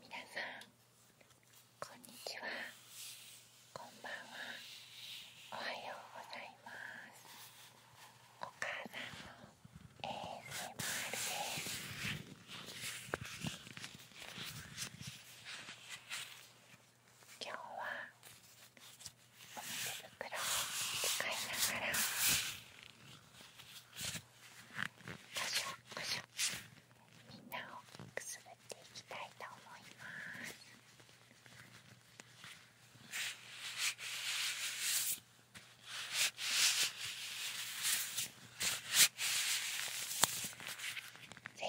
皆さんこんにちはこんばんはおはようございますお母さん ASMR です今日は表袋を使いながらこしょこしょみんなをくすぐっていきたいと思います。ぜ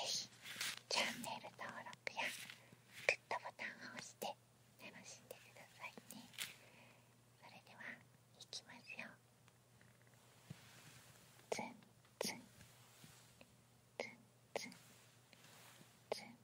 ひチャンネル登録やグッドボタンを押して楽しんでくださいねそれではいきますよツンツンツンツンツン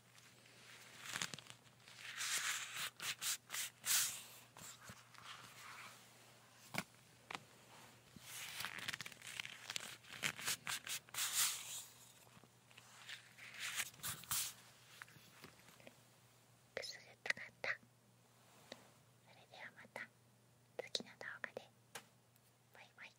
くすぐったかったそれではまた次の動画でバイバイ